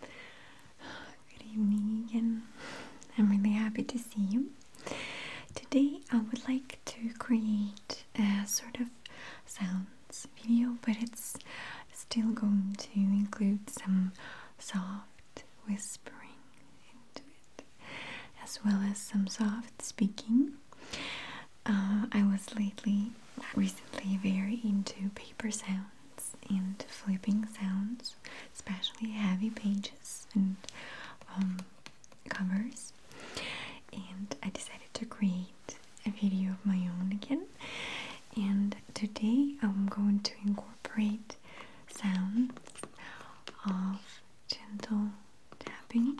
Good evening again. I'm really happy to see you. Today I would like to create a sort of sounds video, but it's still going to include some soft whispering into it, as well as some soft speaking. Uh, I was lately recently very into paper sounds and flipping sounds, especially heavy pages and um, covers. And I decided to create a video of my own again. And today I'm going to incorporate sounds of gentle tapping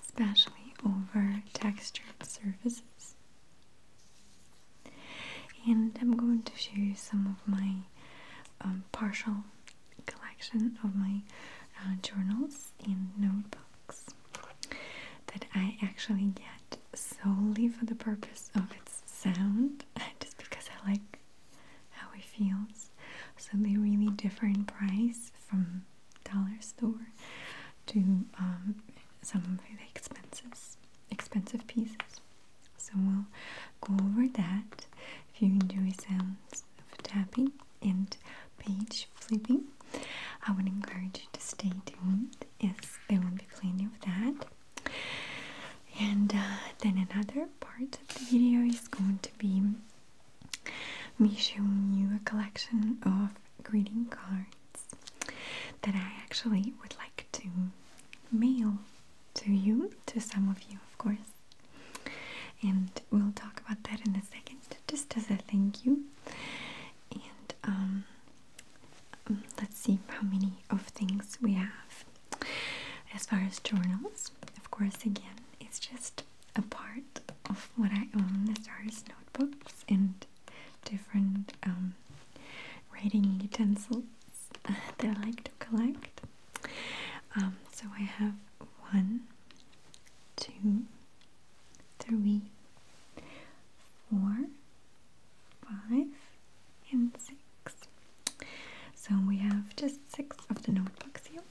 especially over textured surfaces. And I'm going to show you some of my um, partial collection of my uh, journals and notebooks that I actually get solely for the purpose of its sound, just because I like how it feels. So they're really different price from dollar store to um, some really expenses, expensive pieces. So we'll go over that. If you enjoy sounds of tapping and page flipping, I would encourage you to stay tuned Yes, there will be plenty of that. And uh, then another part of the video is going to be me showing you a collection of greeting cards that I actually would like to mail to you, to some of you, of course. And we'll talk about that in a second, just as a thank you. And um, mm, let's see how many of things we have. As far as journals, of course, again, it's just a part of what I own as far as notebooks and different um, writing utensils that I like to collect. Um, so I have one, two, three, four, five, and six. So we have just six of the notebooks here,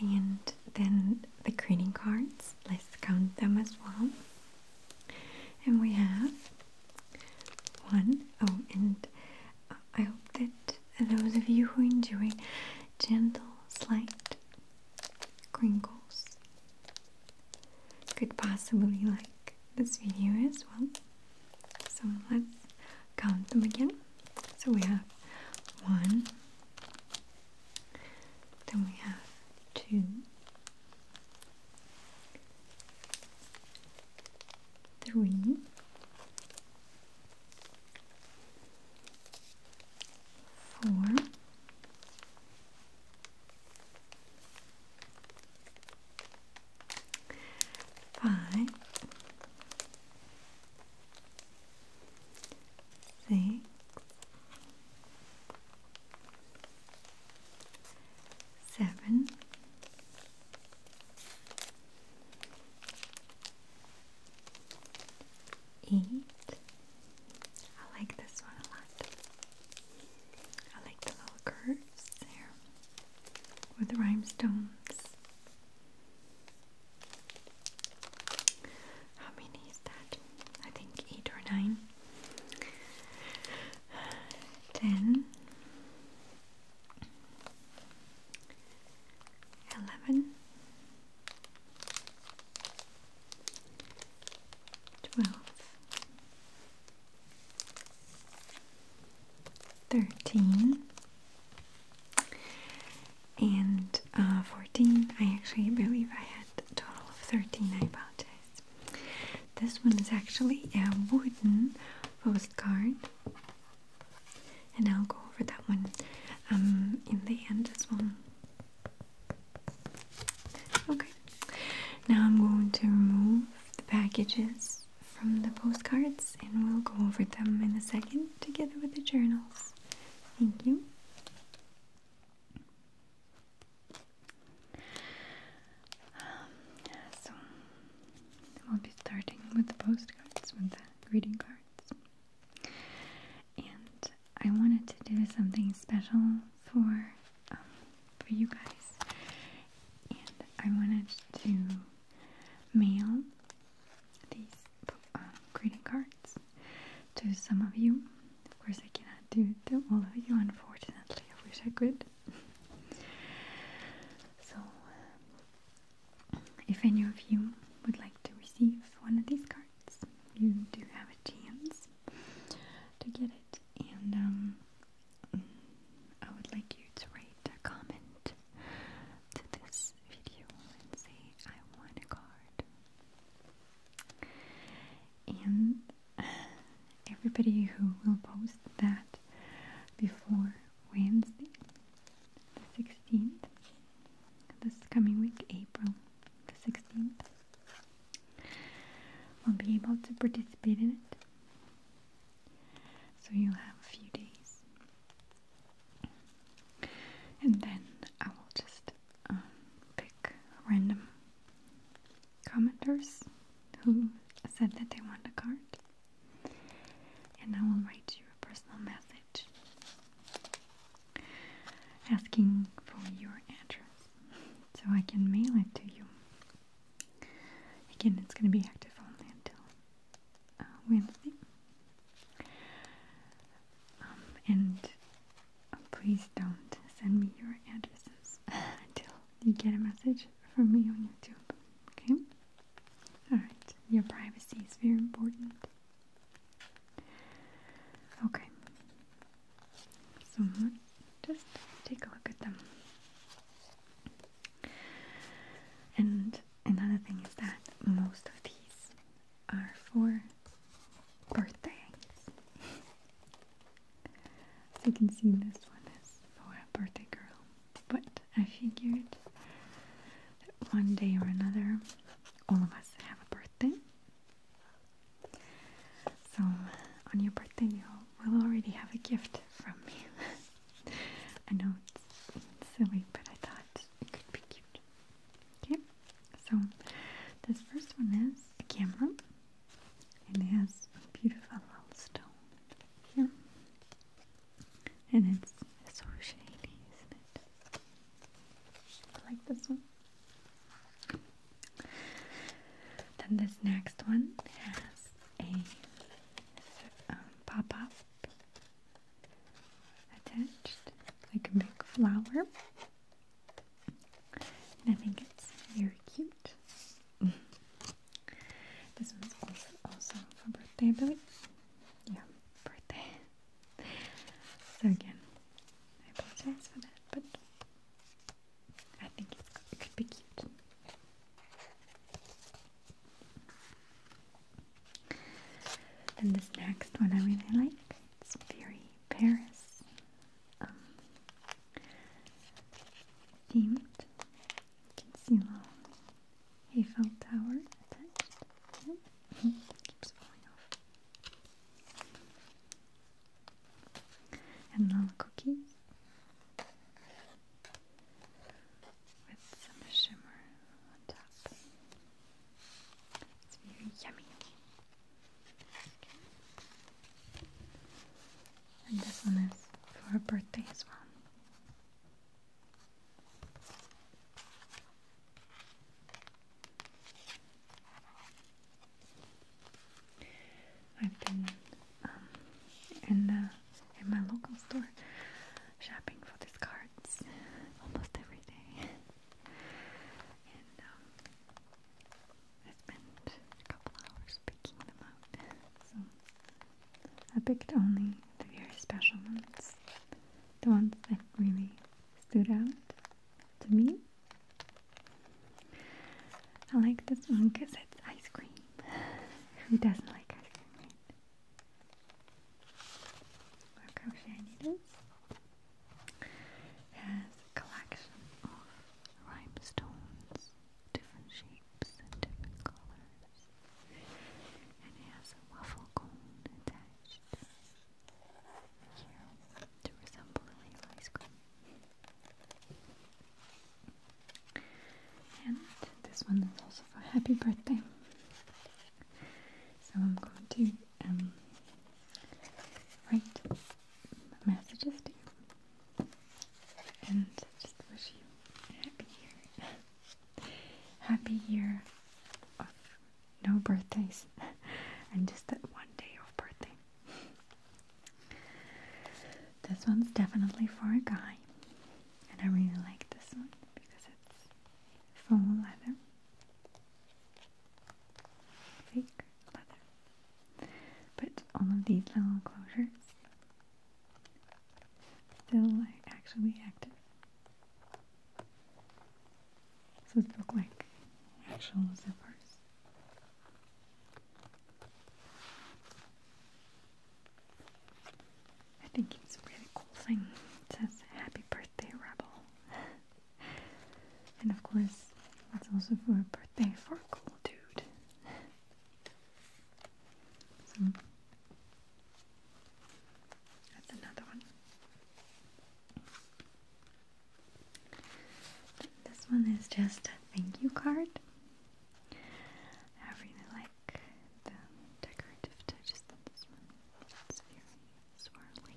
and then the greeting cards, let's count them as well. And we have one, oh, and I hope that those of you who are enjoying gentle, slight crinkles could possibly like this video as well. So let's count them again. So we have one, then we have two, three, four, five six, seven, eight. I like this one a lot. I like the little curves there with the rhinestones. How many is that? I think eight or nine. Ten. Eleven. Twelve. Thirteen and uh, 14. I actually believe I had a total of 13. I apologize. This one is actually a wooden postcard, and I'll go over that one um, in the end as well. Okay, now I'm going to remove the packages from the postcards and we'll go over them in a second together with the journals. Thank you. Um, so we'll be starting with the postcards, with the greeting cards. And I wanted to do something special for um, for you guys. And I wanted to mail these um, greeting cards to some of you. Of course, I cannot do it to all of you, unfortunately. I wish I could. so, uh, if any of you would like to receive one of these cards, you do have a chance to get it. And um, I would like you to write a comment to this video and say, I want a card and uh, everybody who will post that before Wednesday the 16th this coming week April the 16th will be able to participate in it so you'll have a few days and then I will just um, pick random commenters who said that they want a card, and I will write you a personal message asking for your address so I can mail it to you. Again, it's going to be active only until uh, Wednesday. Um, and Please don't send me your addresses until you get a message from me on YouTube. Okay? Alright, your privacy is very important. Okay. So just take a look at them. And another thing is that most of these are for birthdays. As you can see, this one is for a birthday girl, but I figured that one day or another, all of us have a birthday. So, on your birthday, you will already have a gift from me. I know it's silly, but I thought it could be cute. Okay, so this first one is a camera, and it has a beautiful little stone here, and it's, it's so shady, isn't it? I like this one. Then this next one has a pop-up attached, like a big flower. And I think it's very cute. this one's also awesome for birthday, I Yeah, birthday. so again, I apologize for that, but I think it could be cute. Then this next one I really like. It's very Paris um, themed concealer. Eiffel Tower attached. Keeps falling off. And little cookie with some shimmer on top. It's very yummy. And this one is for a birthday as well. I've been um, in uh, in my local store shopping for these cards almost every day, um, I spent a couple hours picking them out, so I picked only the very special ones, the ones that really stood out to me. I like this one because it's ice cream. Who doesn't like ice cream? Right? Or has a collection of rhinestones, different shapes and different colors, and it has a waffle cone attached here to resemble a little ice cream. And this one is also for happy birthday. So I'm going to um, messages to you and just wish you happy year. happy year no birthdays and just that one day of birthday. This one's definitely for a guy, and I really like this one because it's full leather fake leather. But all of these little closures still like, actually active. So these look like actual zippers. I think it's a really cool thing. It says happy birthday rebel. And of course, that's also for a birthday for a cool dude. so, that's another one. This one is just a thank you card. I really like the decorative touches on this one. It's very swirly.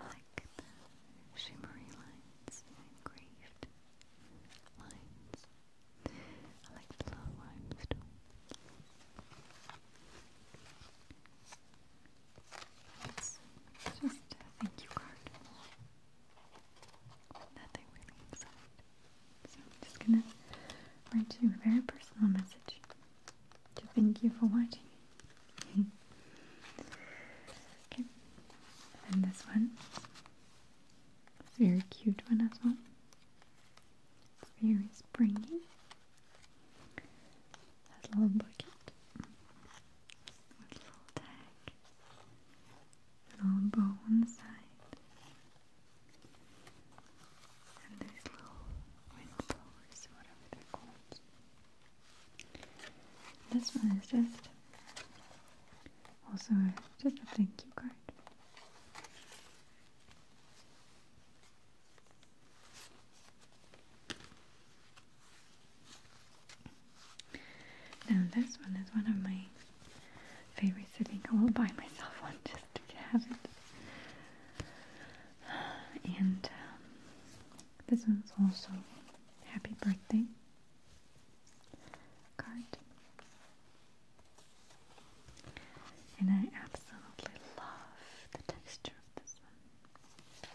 I like the shimmery lines engraved lines. I like the low rhymes just a thank you card. Nothing really inside. So I'm just gonna write you a very personal message to thank you for watching. okay, and this one, very cute one as well. It's very springy. Has little bucket, little tag, little bow on the side, and these little wind whatever they're called. This one is just also just a thank you card. Now this one is one of my favorites. I think I will buy myself one just to have it. And um, this one's also happy birthday card. And I absolutely love the texture of this one.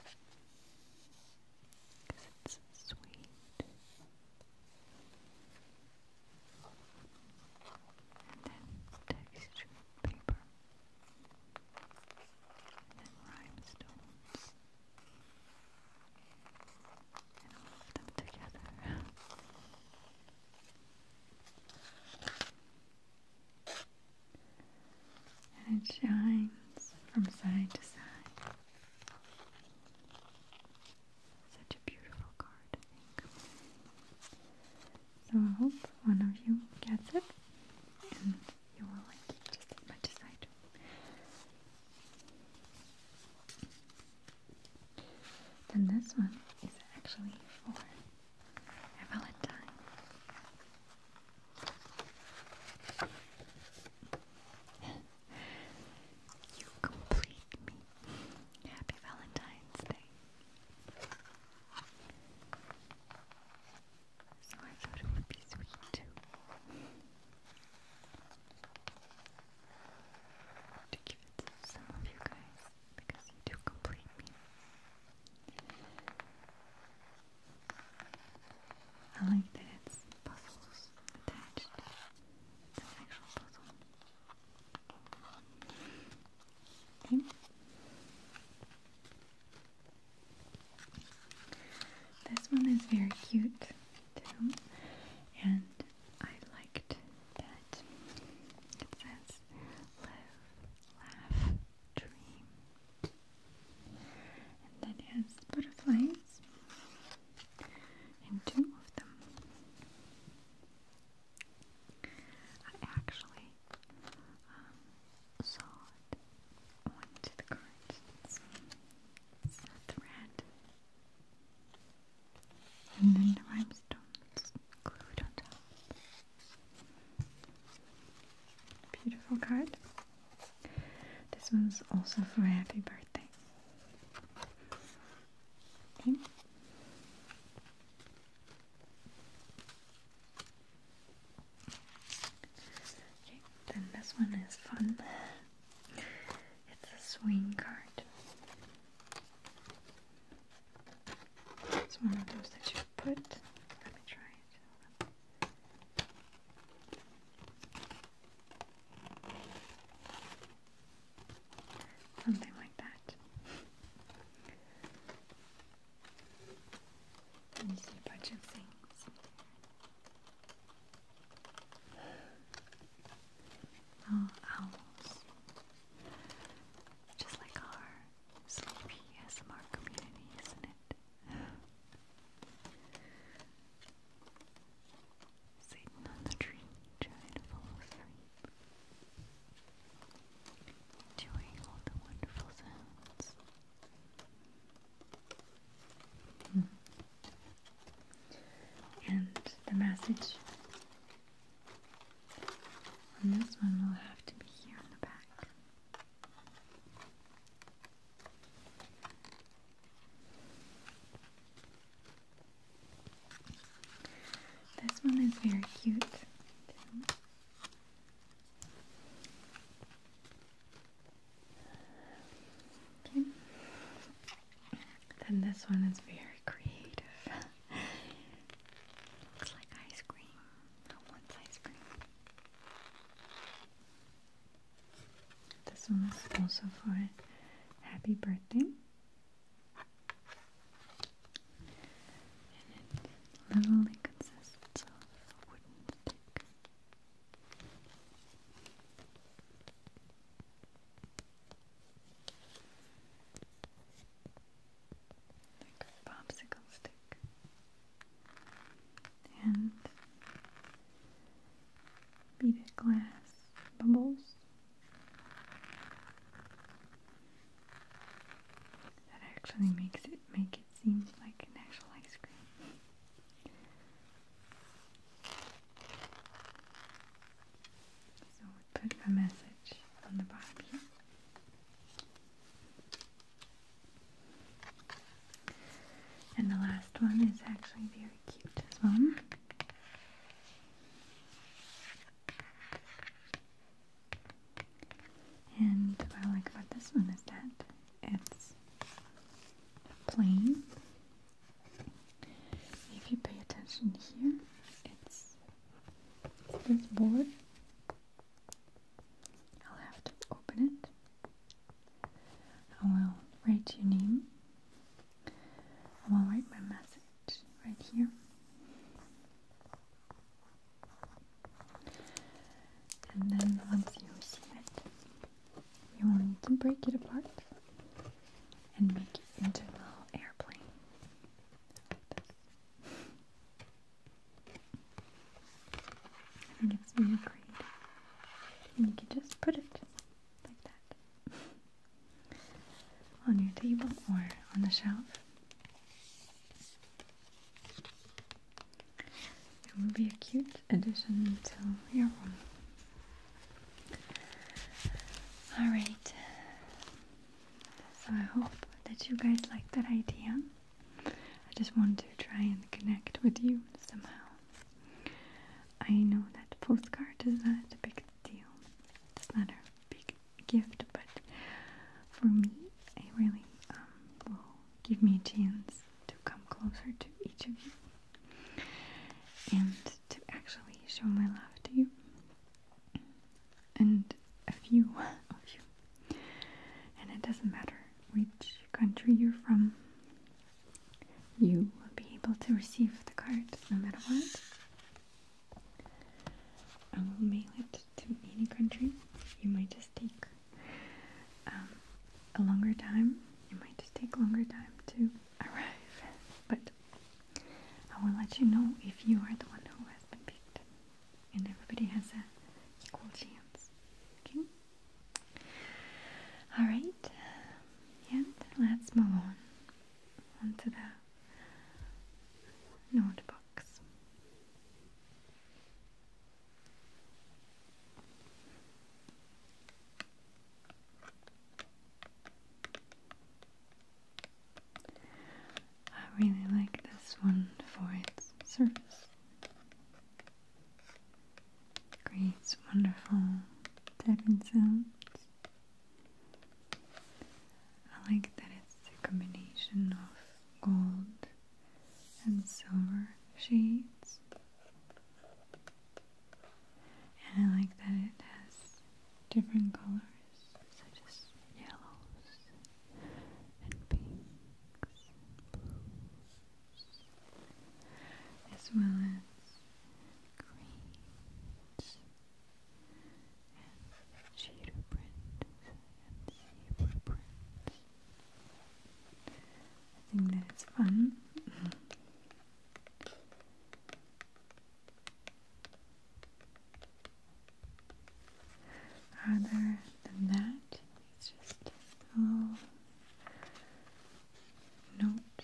Because it's sweet. And then textured paper and rhinestones and all of them together and it shines from side to side such a beautiful card so I hope one of you gets it you will like just as much Then this one is actually for Valentine. you complete me. Happy Valentine's Day so I thought it would be sweet To give it to some of you guys because you do complete me. I like that it's puzzles attached. It's an actual puzzle. Okay. This one is very cute too, and I liked that it says live, laugh, dream. And then it has butterflies and two of them. I actually um, solid onto the cards. It's not thread. And then the rhinestones glued on top. Beautiful card. This one's also for a happy birthday. Okay then this one is fun. It's a swing card. It's one of those that you put. Let me try it. Something like that. And you see a bunch of things Little owls. Just like our sleepy SMR community, isn't it? Sitting on the tree, trying to fall asleep. Enjoying all the wonderful sounds. Hmm. And the message this one will have to be here on the back. This one is very cute. Then this one is very creative. Looks like ice cream. No ice cream. This one is also for happy birthday. And it literally consists of wooden stick popsicle stick. And beaded glass bubbles that actually makes it make it seemed like an actual ice cream. So put a message on the bottom here. And the last one is actually very cute as well. And what I like about this one is that it's plain. If you pay attention here, it's this board. I'll have to open it. I will write your name. I will write my message right here. And then once you receive it, you will need to break it apart and make it into a little airplane. Like this. I it's really great. And you can just put it like that on your table or on the shelf. It will be a cute addition to your room. Alright, so I hope that you guys like that idea. I just want to try and connect with you somehow. I know that postcard is not a big deal, it's not a big gift, but for me, it really um, will give me a chance to come closer to each of you and to actually show my love to you and a few of you. And it doesn't matter which country you're from, you will be able to receive the card no matter what. I will mail it to any country. You might just take um, a longer time. It might just take longer time to arrive, but I will let you know if you are the one who has been picked, and everybody has a equal chance. Okay. All right, and let's move on onto the notebooks. I really like this one for its surface. Creates wonderful tapping sounds. I like that it's a combination of gold and silver sheets, And I like that it has different colors, such as yellows and pinks as well as greens and cheetah print and zebra print. I think that it's fun. Rather than that, it's just a note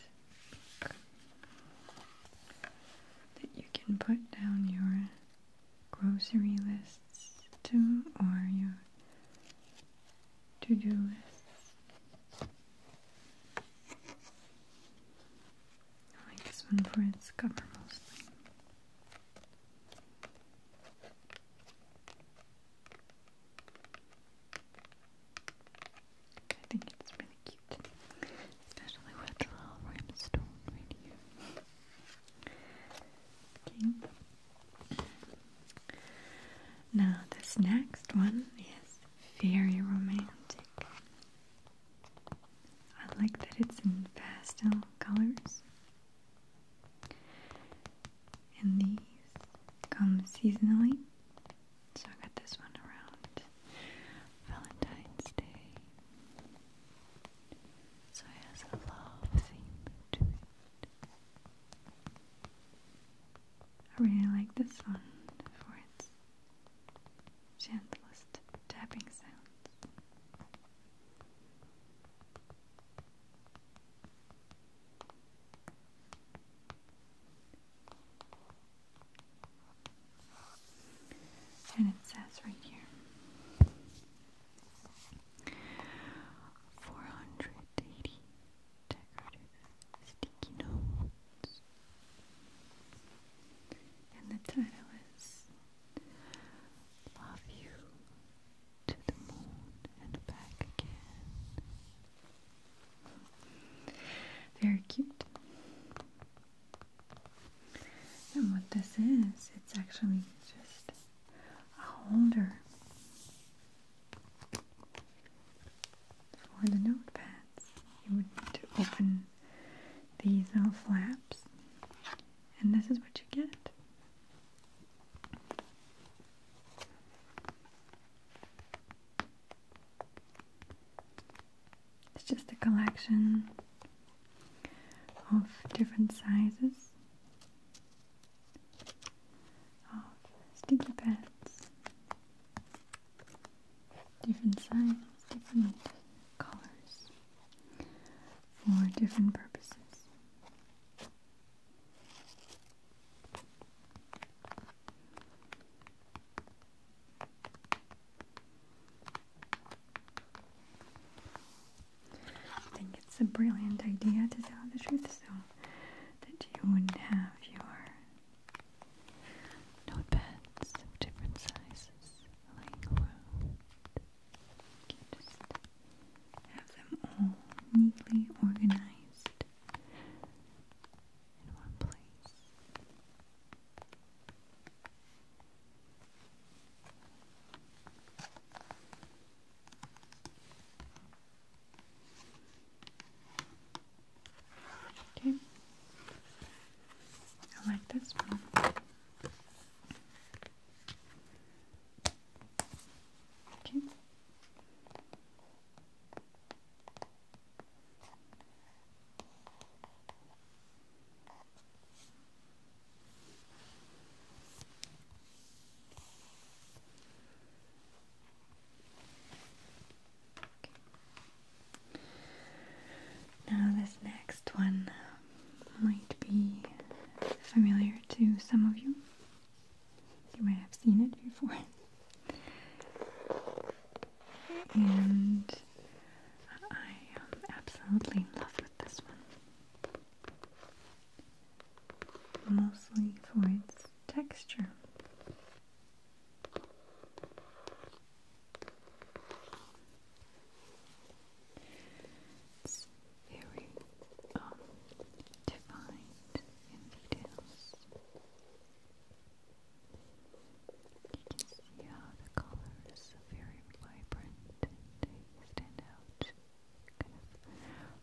that you can put down your grocery lists to or your to-do list. I like this one for its cover mostly. I think it's really cute, especially with the little rhinestone right here. Now, this next one is very romantic. I like that it's in pastel colors. And these come seasonally. So I got this one around Valentine's Day. So it has a love theme to it. I really like this one for its gentlest tapping sounds. And it says right here four hundred sticky notes. And the title is Love You to the Moon and Back Again. Very cute. And what this is, it's actually just a holder for the notepads. You would need to open these little flaps, and this is what you get. It's just a collection of different sizes of oh, sticky pads, different sizes, different colors for different purposes. I think it's a brilliant idea to tell the truth so that you would not have your notepads of different sizes lying You just have them all neatly organized in one place. Okay. I like this one. Okay. Now, this next one um, might be familiar to some of you. You might have seen it before. and I am absolutely in love with this one mostly for its texture. It's very um, defined in details. You can see how the colors are very vibrant and they stand out kind of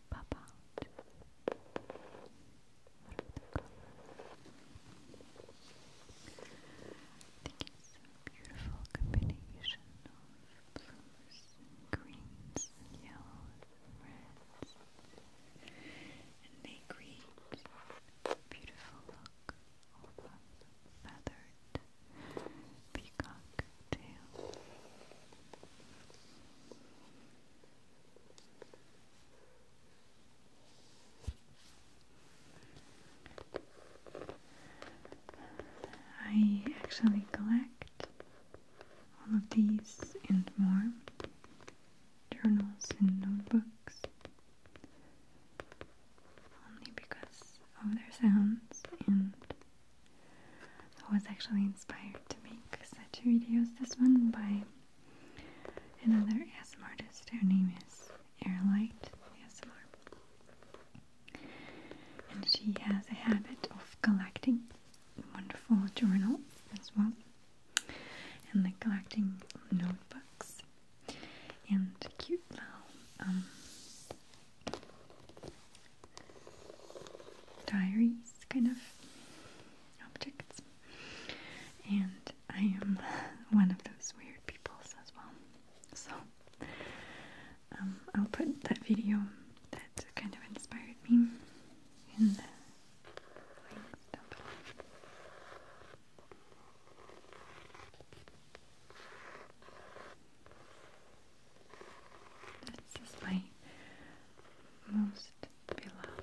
pop out out I think it's a beautiful combination of blues greens yellows reds. And they create beautiful look of feathered peacock I actually collect all of these and more journals and notebooks only because of their sounds and I was actually inspired to make such videos, this one by another ASMR artist. Her name is Airlight ASMR. And she has a habit of collecting wonderful journals as well. And like collecting notebooks and cute little um, diaries kind of objects. And I am one of those weird peoples as well. So um, I'll put that video that kind of inspired me in the links down below. This is my most beloved one.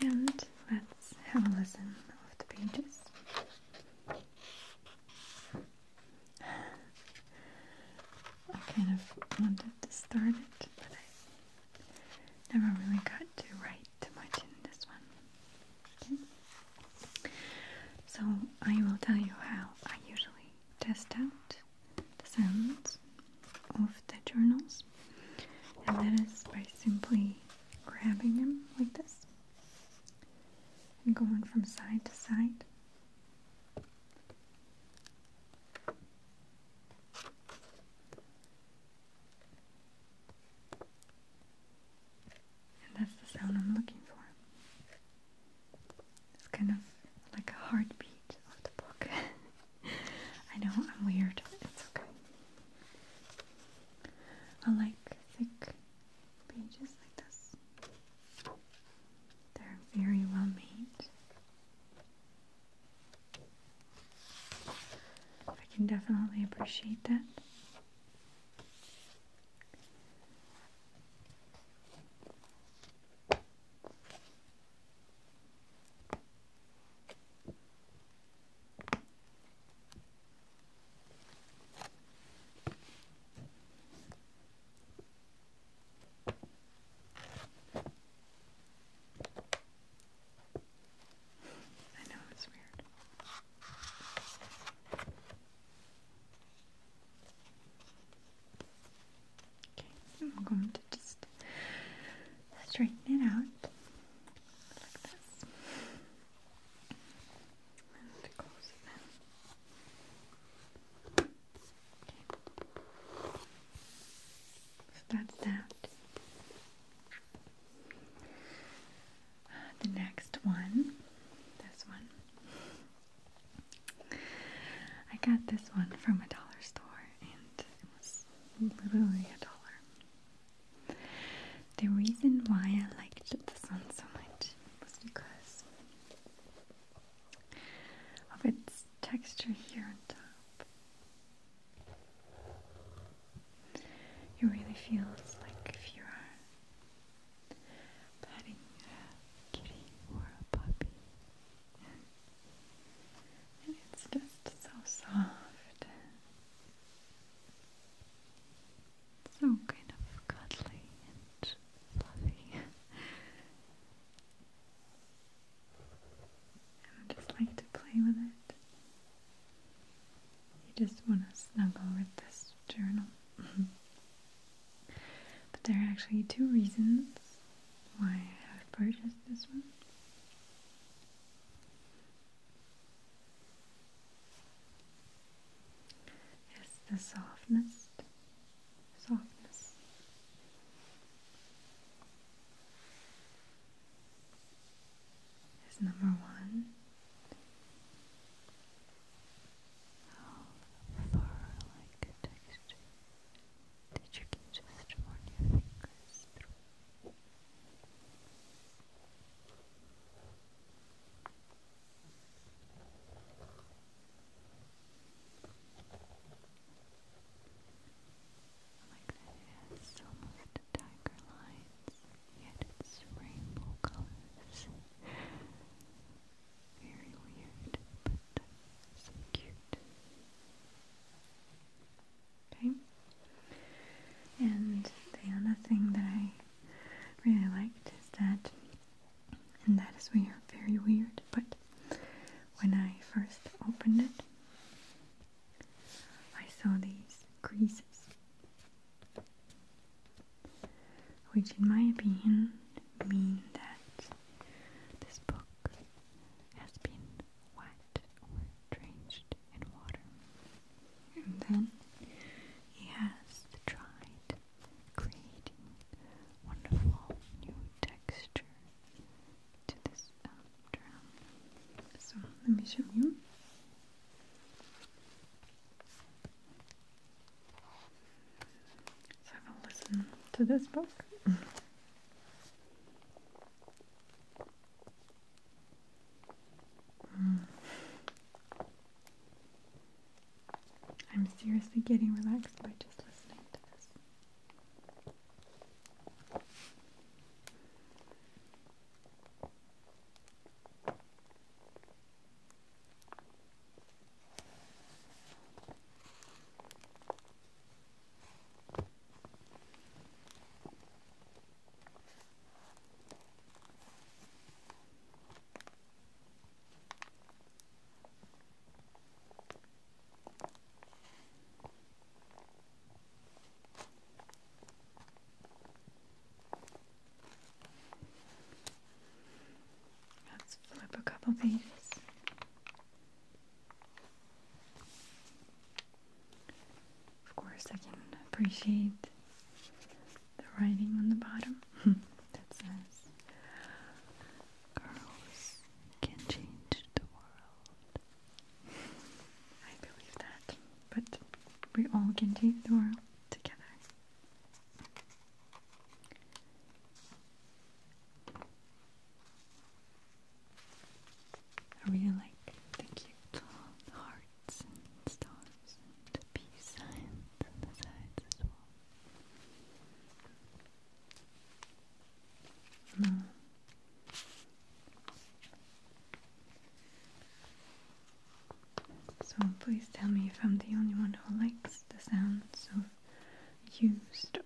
And let's have a listen of the pages. I kind of wanted to start it, but I never really got to write too much in this one. So I will tell you how I usually test out the sounds of the journals and that is by simply grabbing them like this and going from side to side. And that's the sound I'm looking for. It's kind of like a heartbeat of the book. I know I'm weird, it's okay. I like thick pages like this. They're very well made. I can definitely appreciate that. I know it's weird. Okay, I'm going to just straighten it out like this and close it down. Okay. So that's that. the next one, this one. I got this one from a dollar store and it was literally a dollar. The reason why I liked the sun so much was because of its texture here on top. It really feels like if you are petting a kitty or a puppy. And it's just so soft it's So kind of cuddly and fluffy. I just like to play with it. You just want to snuggle with this journal. but there are actually two reasons why I have purchased this one. Is the softness, softness. Is number one. Oh, fur like texture that you just run your fingers through. Like that it almost tiger lines, it's rainbow colors. Very weird, but so cute. Okay. And the other thing that I really liked is that, and that is weird, very weird, but when I first opened it, I saw these creases, which, in my opinion, mean that this book has been wet or drenched in water. And then he has tried creating wonderful new texture to this drum. So let me show you. So I will listen to this book. Hmm. I'm seriously getting relaxed by just listening to this. Let's flip a couple of these. Of course, I can appreciate the writing on the bottom that says, Girls can change the world. I believe that, but we all can change the world together. I really like the cute heart stars and peace signs on the sides as well. Mm. So please tell me if I'm the only one who likes the sounds of used or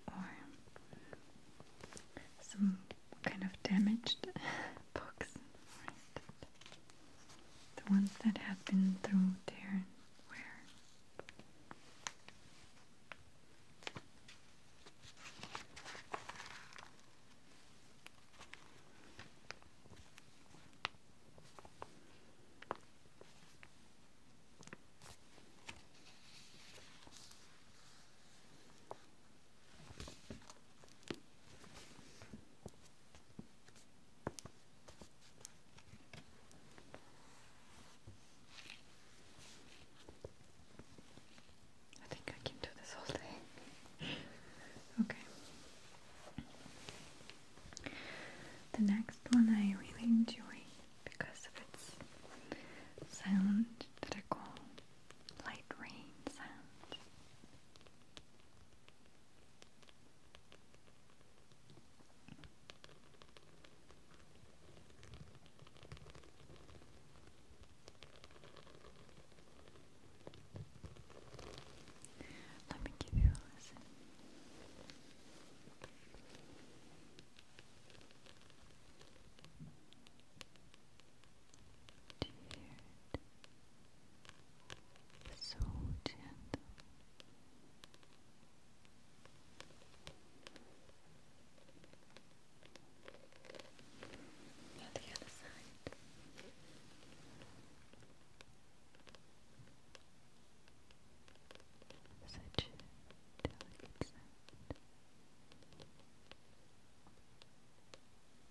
some kind of damaged books, The ones that have been through tear and wear. I think I can do this whole thing. okay. The next one I really enjoy because of its sound that I call light rain sound. Let me give you a listen. Tired. So gentle. On the other side. Such a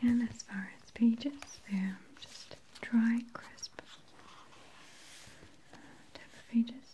And as far as pages, they're just dry, crisp type of pages.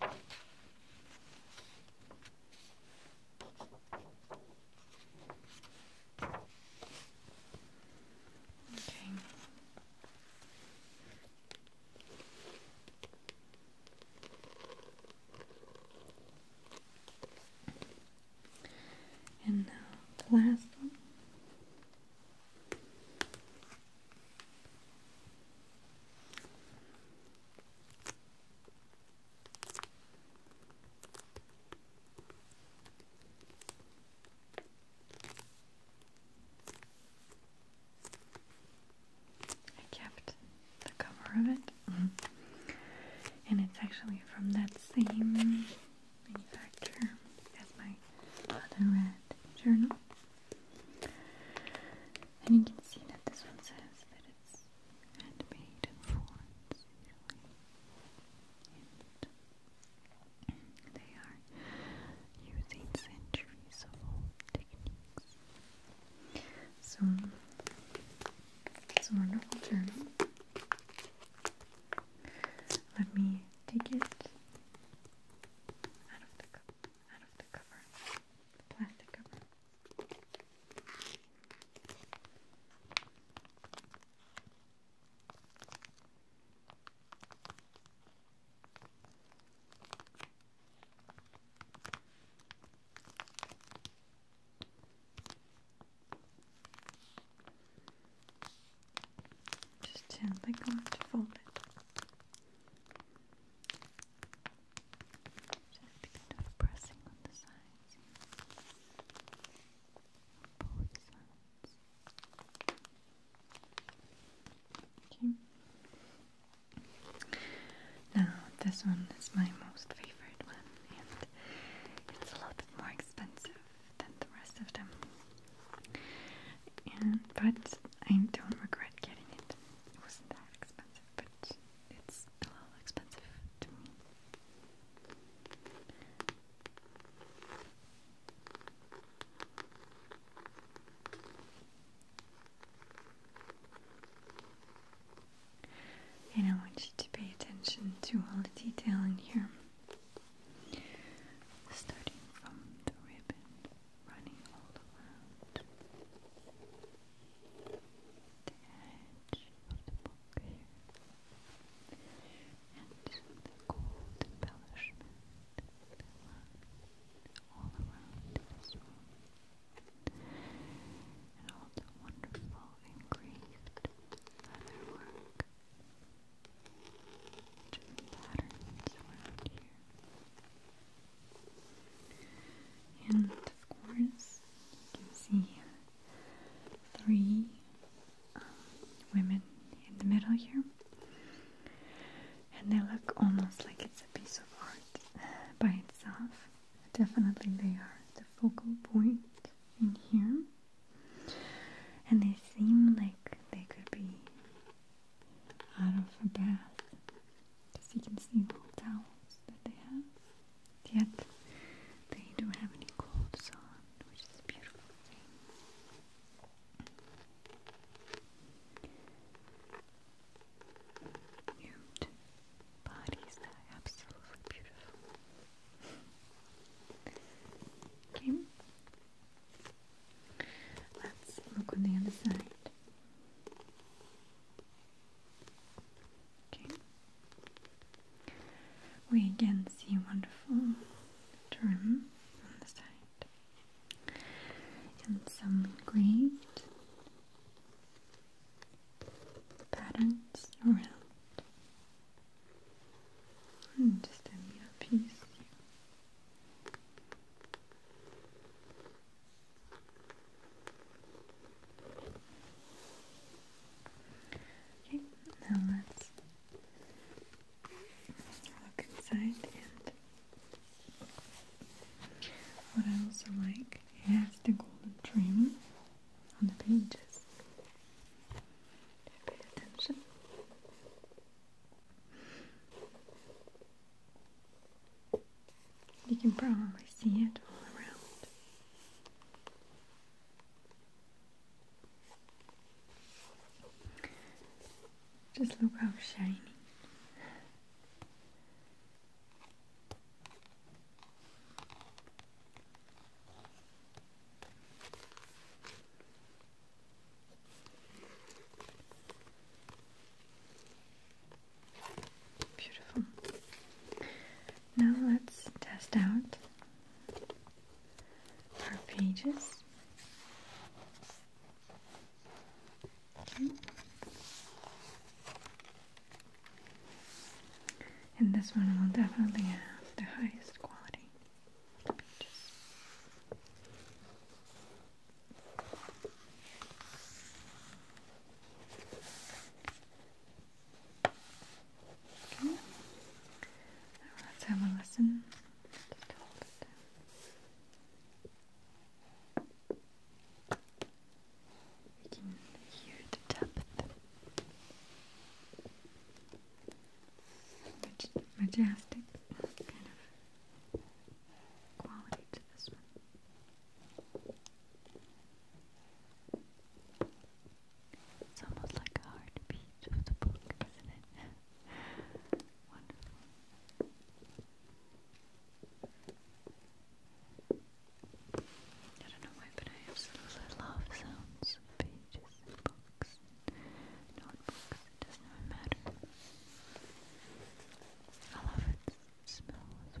Okay. And now the last one. I kept the cover of it, mm-hmm. and it's actually from that same manufacturer as my other red journal. And you can see that this one says that it's handmade in Florence, they are using centuries old techniques. So it's a wonderful journal. Let me take it out of the cover plastic Just gently going to fold it. Now this one is my most favorite one, and it's a little bit more expensive than the rest of them. And but I don't regret getting it. It wasn't that expensive, but it's a little expensive to me. And I want you to pay attention to all the detail in here, starting from the ribbon running all around the edge of the book here, and the gold embellishment all around this room, and all the wonderful engraved leather work. patterns around here. And of course, you can see three um, women in the middle here, and they look almost like it's a piece of art uh, by itself. Definitely, they are the focal point in here, and they seem like they could be out of a bath because you can see all the towels that they have. Yet they don't have any clothes on, which is a beautiful thing. Nude bodies that are absolutely beautiful. Okay. Let's look on the other side. We again see wonderful trim on the side and some great patterns around. And just a little piece. Okay, now let's look inside and what I also like is the golden trim on the pages. Pay attention. You can probably see it all around. Just look how shiny. Beautiful. Now let's test out our pages. And this one will definitely have the highest quality pages let's have a listen. Just can hear the depth, which majestic kind of quality to this one. It's almost like a heartbeat of the book, I don't know why, but I absolutely love sounds pages books notebooks. It doesn't matter. I love it smell as well.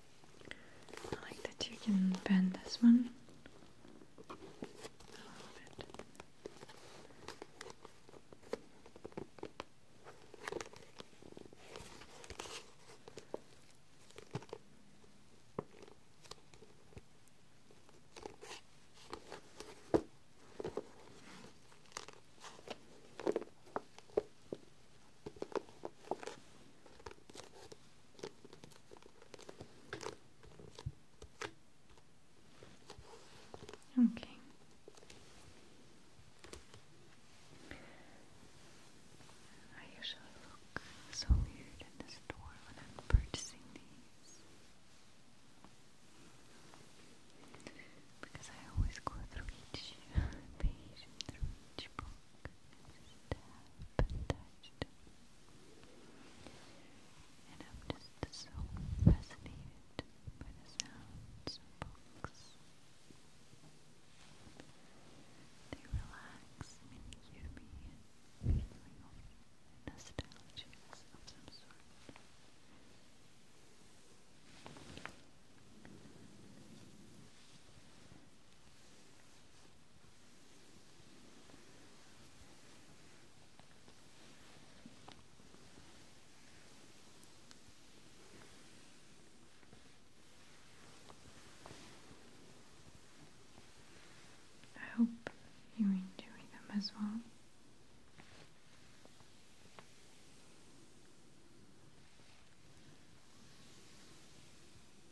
I like that you can bend this one a little bit. Okay. I usually look so weird in the store when I'm purchasing these. Because I always go through each page and through each book tap and I'm just so fascinated by the books. They relax and give me a feeling of of some sort. I hope you enjoy them as well.